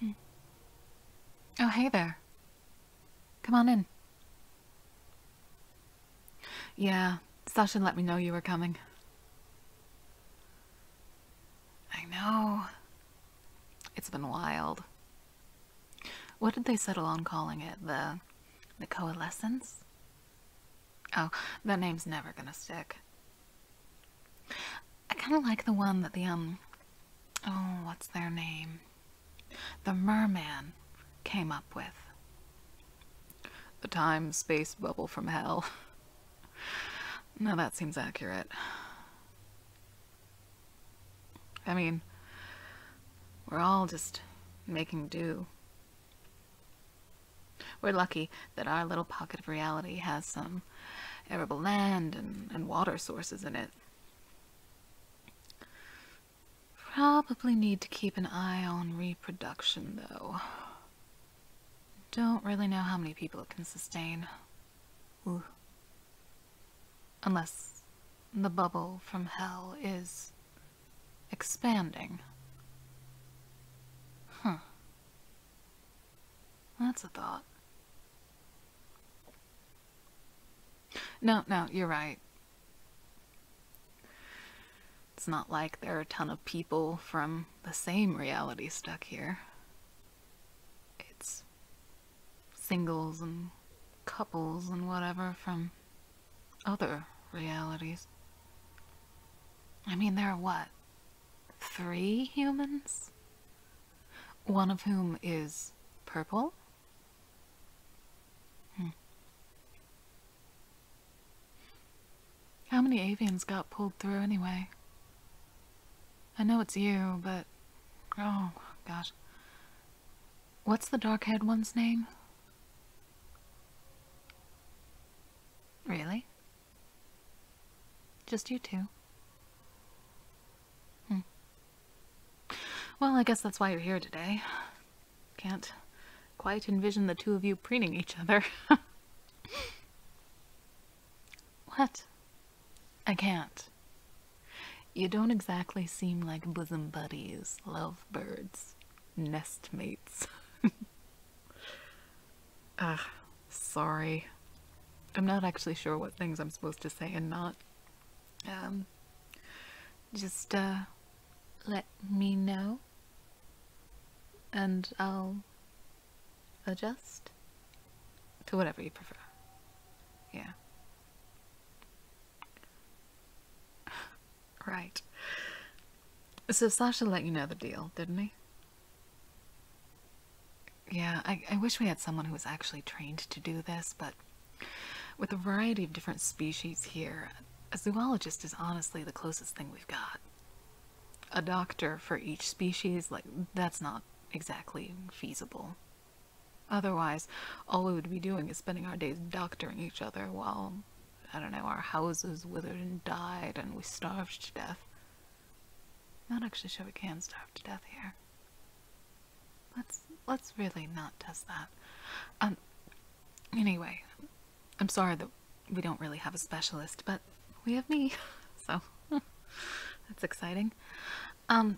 Hmm. Oh, hey there. Come on in. Yeah, Sasha let me know you were coming. I know. It's been wild. What did they settle on calling it? The the coalescence? Oh, that name's never gonna stick. I kind of like the one that the, um, oh, what's their name? The merman came up with. The time space bubble from hell. no, that seems accurate. I mean, we're all just making do. We're lucky that our little pocket of reality has some arable land and, water sources in it. Probably need to keep an eye on reproduction, though. Don't really know how many people it can sustain. Unless the bubble from hell is expanding. Huh. That's a thought. No, no, you're right. It's not like there are a ton of people from the same reality stuck here. It's singles and couples and whatever from other realities. I mean, there are what? three humans, one of whom is purple. Hmm. How many avians got pulled through anyway? I know it's you, but. Oh, gosh. What's the dark haired one's name? Really? Just you two. Hmm. Well, I guess that's why you're here today. Can't quite envision the two of you preening each other. what? I can't. You don't exactly seem like bosom buddies, lovebirds, nestmates. Ah, sorry. I'm not actually sure what things I'm supposed to say and not. Um, just, uh, let me know. And I'll adjust to whatever you prefer. Yeah. right. So Sasha let you know the deal, didn't he? Yeah, I, wish we had someone who was actually trained to do this, but with a variety of different species here, a zoologist is honestly the closest thing we've got. A doctor for each species, like, that's not exactly feasible. Otherwise, all we would be doing is spending our days doctoring each other while I don't know, our houses withered and died and we starved to death. Not actually sure we can starve to death here. Let's let's really not test that. Um anyway, I'm sorry that we don't really have a specialist, but we have me. So that's exciting. Um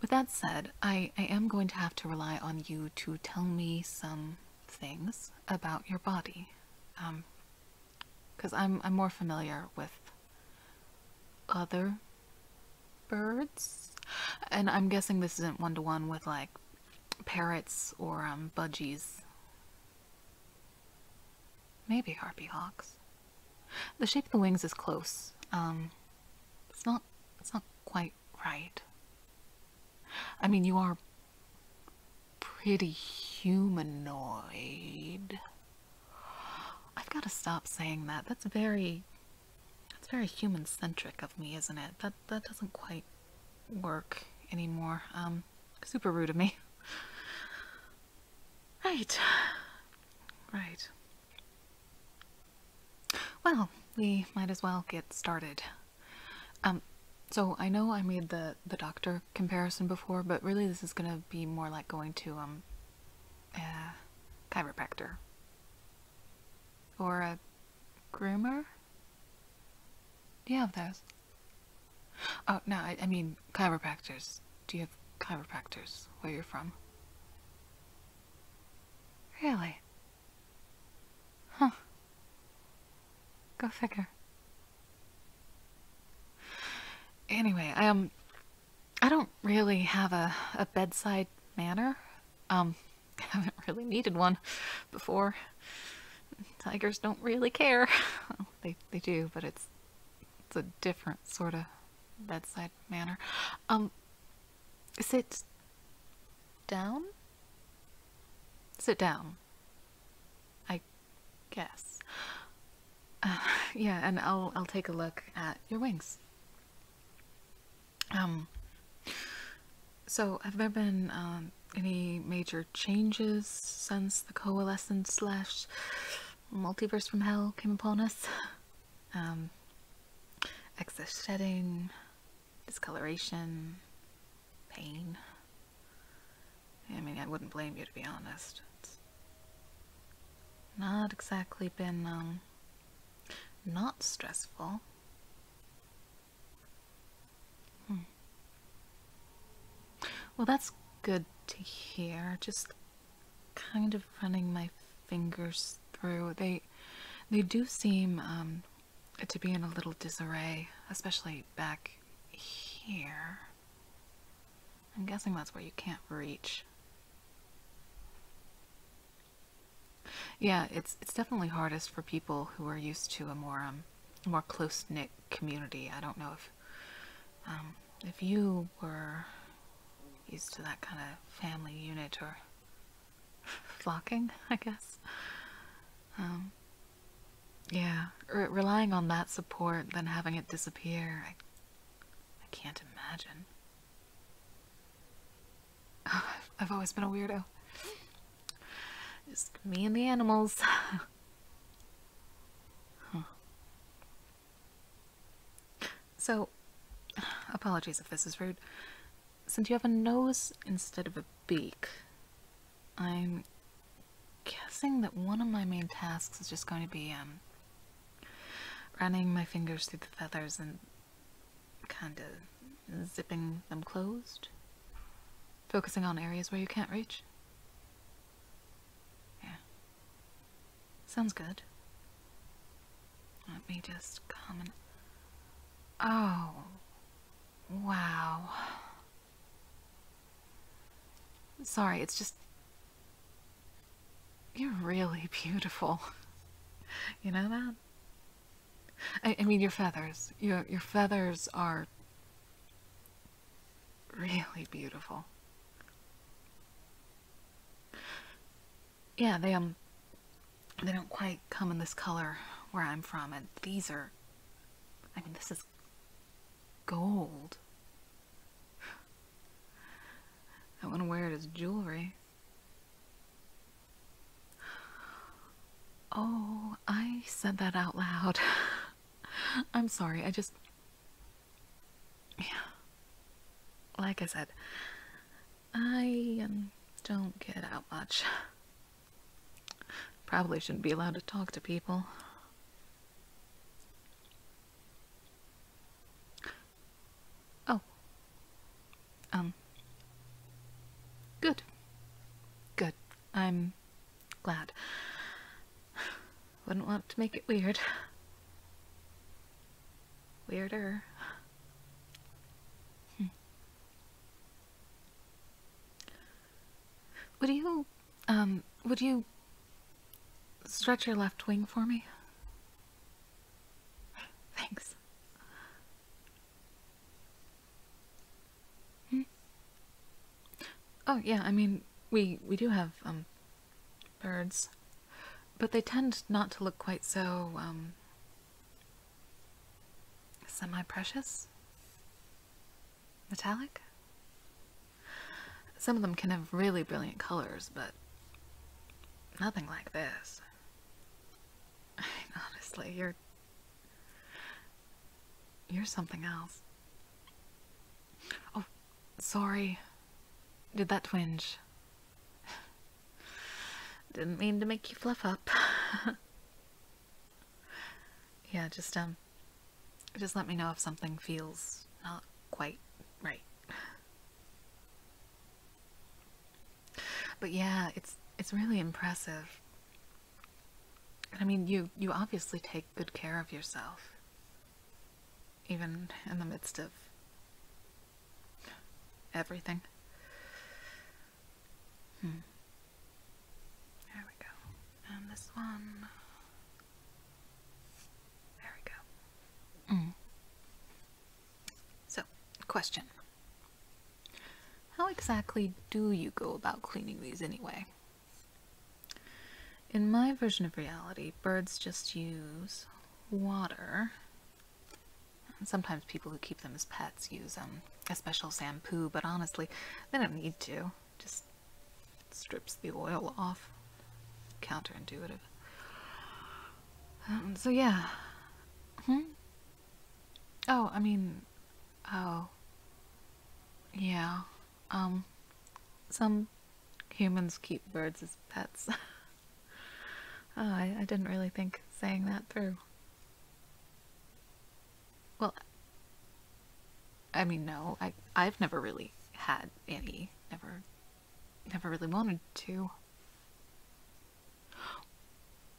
with that said, I, I am going to have to rely on you to tell me some things about your body. Um, because I'm I'm more familiar with other birds, and I'm guessing this isn't one to one with like parrots or um, budgies. Maybe harpy hawks. The shape of the wings is close. Um, it's not. It's not quite right. I mean, you are pretty humanoid. I've got to stop saying that. That's very that's very human centric of me, isn't it? That that doesn't quite work anymore. Um super rude of me. Right. Right. Well, we might as well get started. Um, so I know I made the the doctor comparison before, but really this is gonna be more like going to um, a chiropractor or a groomer. Do you have those? Oh no, I, I mean chiropractors. Do you have chiropractors where you're from? Really? Huh. Go figure. Anyway, I um I don't really have a, a bedside manner. Um haven't really needed one before. Tigers don't really care. they they do, but it's it's a different sort of bedside manner. Um sit down. Sit down. I guess. Uh, yeah, and I'll I'll take a look at your wings. Um, so, have there been um, any major changes since the coalescence slash multiverse from hell came upon us? Um, excess shedding, discoloration, pain. I mean, I wouldn't blame you to be honest. not exactly been, um, not stressful. Hmm. Well, that's good to hear. Just kind of running my fingers through. They, they do seem, um, to be in a little disarray, especially back here. I'm guessing that's where you can't reach. Yeah, it's it's definitely hardest for people who are used to a more um more close knit community. I don't know if um, if you were used to that kind of family unit or flocking, I guess. Um, yeah, relying on that support, than having it disappear, I, can't imagine. Oh, I've always been a weirdo. It's me and the animals. So, apologies if this is rude. Since you have a nose instead of a beak, I'm guessing that one of my main tasks is just going to be um, running my fingers through the feathers and kind of zipping them closed. Focusing on areas where you can't reach. Yeah. Sounds good. Let me just come and... Oh. Wow. Sorry, it's just... You're really beautiful. You know that? I, mean, your feathers. Your, your feathers are really beautiful. Yeah, they um they don't quite come in this color where I'm from, and these are I mean, this is gold. I want to wear it as jewelry. Oh, I said that out loud. I'm sorry, I just. Yeah. Like I said, I um, don't get out much. Probably shouldn't be allowed to talk to people. Oh. Um. Good. Good. I'm glad. Wouldn't want to make it weird. Weirder. Hmm. Would you, um, would you stretch your left wing for me? Thanks. Hmm? Oh, yeah, I mean, we, we do have, um, birds, but they tend not to look quite so, um, Semi precious? Metallic? Some of them can have really brilliant colors, but nothing like this. honestly, you're. You're something else. Oh, sorry. Did that twinge? Didn't mean to make you fluff up. Yeah, just, um, just let me know if something feels not quite right. But yeah, it's, it's really impressive. I mean, you, you obviously take good care of yourself. Even in the midst of everything. Hmm. There we go. And this one. There we go. Mm. So, question. How exactly do you go about cleaning these anyway? In my version of reality, birds just use water Sometimes people who keep them as pets use um, a special shampoo, but honestly, they don't need to. Just strips the oil off. Counterintuitive. Um, so yeah. Hmm? Oh, I mean, oh. Yeah. Um, some humans keep birds as pets. oh, I didn't really think saying that through. Well, I mean, no, I I've never really had any. Never, never really wanted to.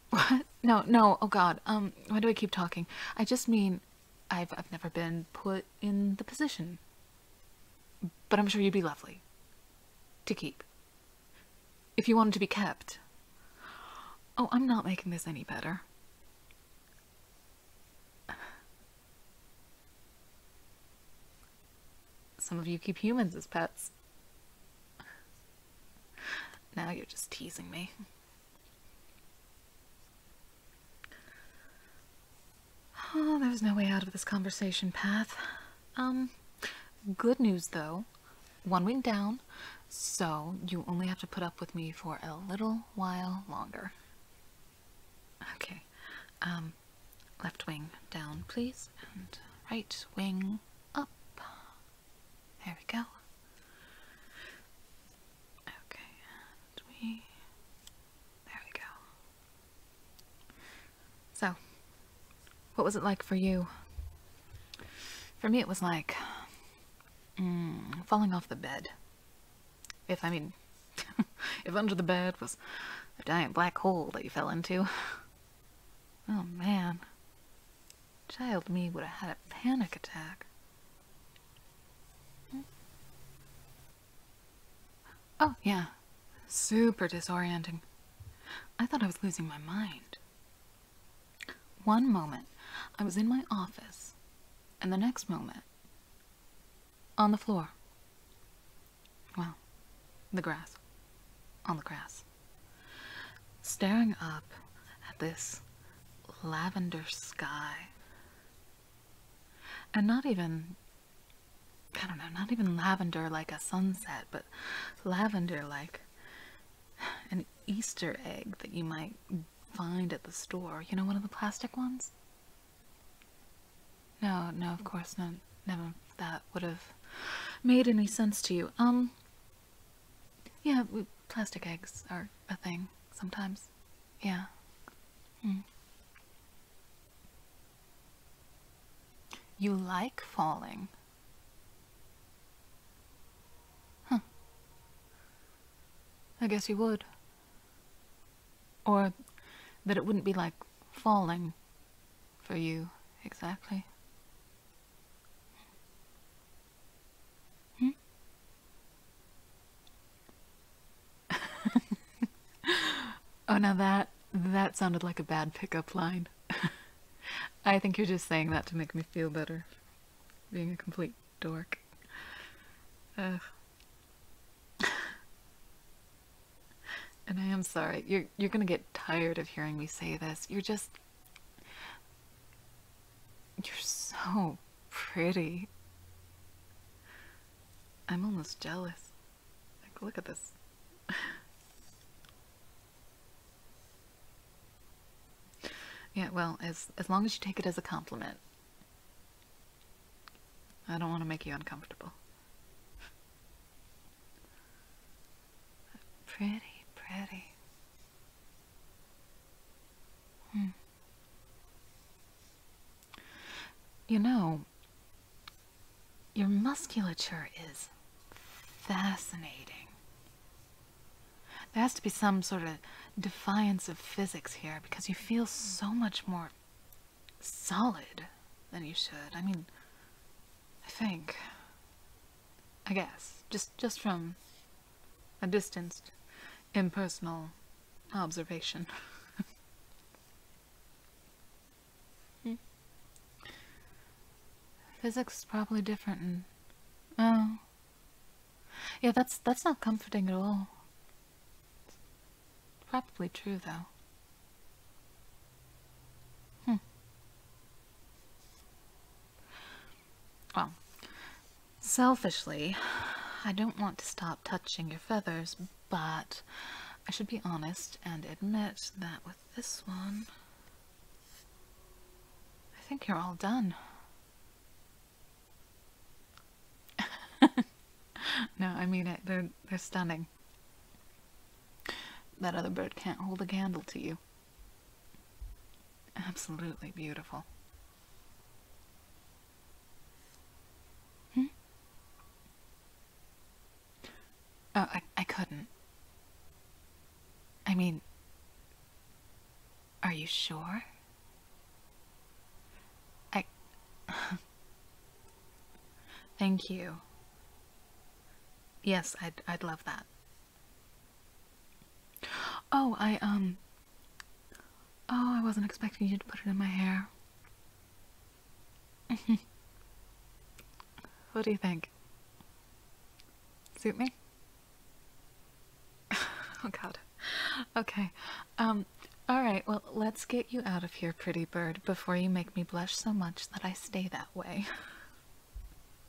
What? No, no. Oh God. Um, why do I keep talking? I just mean, I've I've never been put in the position. But I'm sure you'd be lovely. To keep. If you wanted to be kept. Oh, I'm not making this any better. Some of you keep humans as pets. Now you're just teasing me. Oh, there's no way out of this conversation path. Um, good news though one wing down, so you only have to put up with me for a little while longer. Okay, um, left wing down, please, and right wing up. There we go. Okay, and we, there we go. So, what was it like for you? For me, it was like mm, falling off the bed. If I mean, if under the bed was a giant black hole that you fell into. Oh man. Child me would have had a panic attack. Oh, yeah. Super disorienting. I thought I was losing my mind. One moment, I was in my office, and the next moment, on the floor. Well, the grass. On the grass. Staring up at this lavender sky. And not even, I don't know, not even lavender like a sunset, but lavender like an Easter egg that you might find at the store. You know, one of the plastic ones? No, no, of course not. Never that would have made any sense to you. Um, yeah, plastic eggs are a thing sometimes. Yeah. Hmm. You like falling. Huh. I guess you would. Or that it wouldn't be like falling for you, exactly. Hmm? oh, now that, that sounded like a bad pickup line. I think you're just saying that to make me feel better. Being a complete dork. and I am sorry. You're you're gonna get tired of hearing me say this. You're just You're so pretty. I'm almost jealous. Like look at this. Yeah, well, as as long as you take it as a compliment. I don't want to make you uncomfortable. Pretty, pretty. Hmm. You know, your musculature is fascinating. There has to be some sort of defiance of physics here because you feel so much more solid than you should. I mean, I think. I guess. Just, just from a distanced, impersonal observation. Hmm. Physics is probably different. oh. Yeah, that's that's not comforting at all. probably true though. Hmm. Well, selfishly, I don't want to stop touching your feathers, but I should be honest and admit that with this one, I think you're all done. no, I mean They're, they're stunning. That other bird can't hold a candle to you. Absolutely beautiful. Hmm? Oh, I, I couldn't. I mean, are you sure? I... Thank you. Yes, I'd, I'd love that. Oh, I, um... Oh, I wasn't expecting you to put it in my hair. What do you think? Suit me? oh god. Okay. Um, alright, well, let's get you out of here, pretty bird, before you make me blush so much that I stay that way.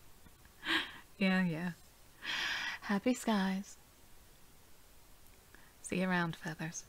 yeah, yeah. Happy skies. See you around, feathers.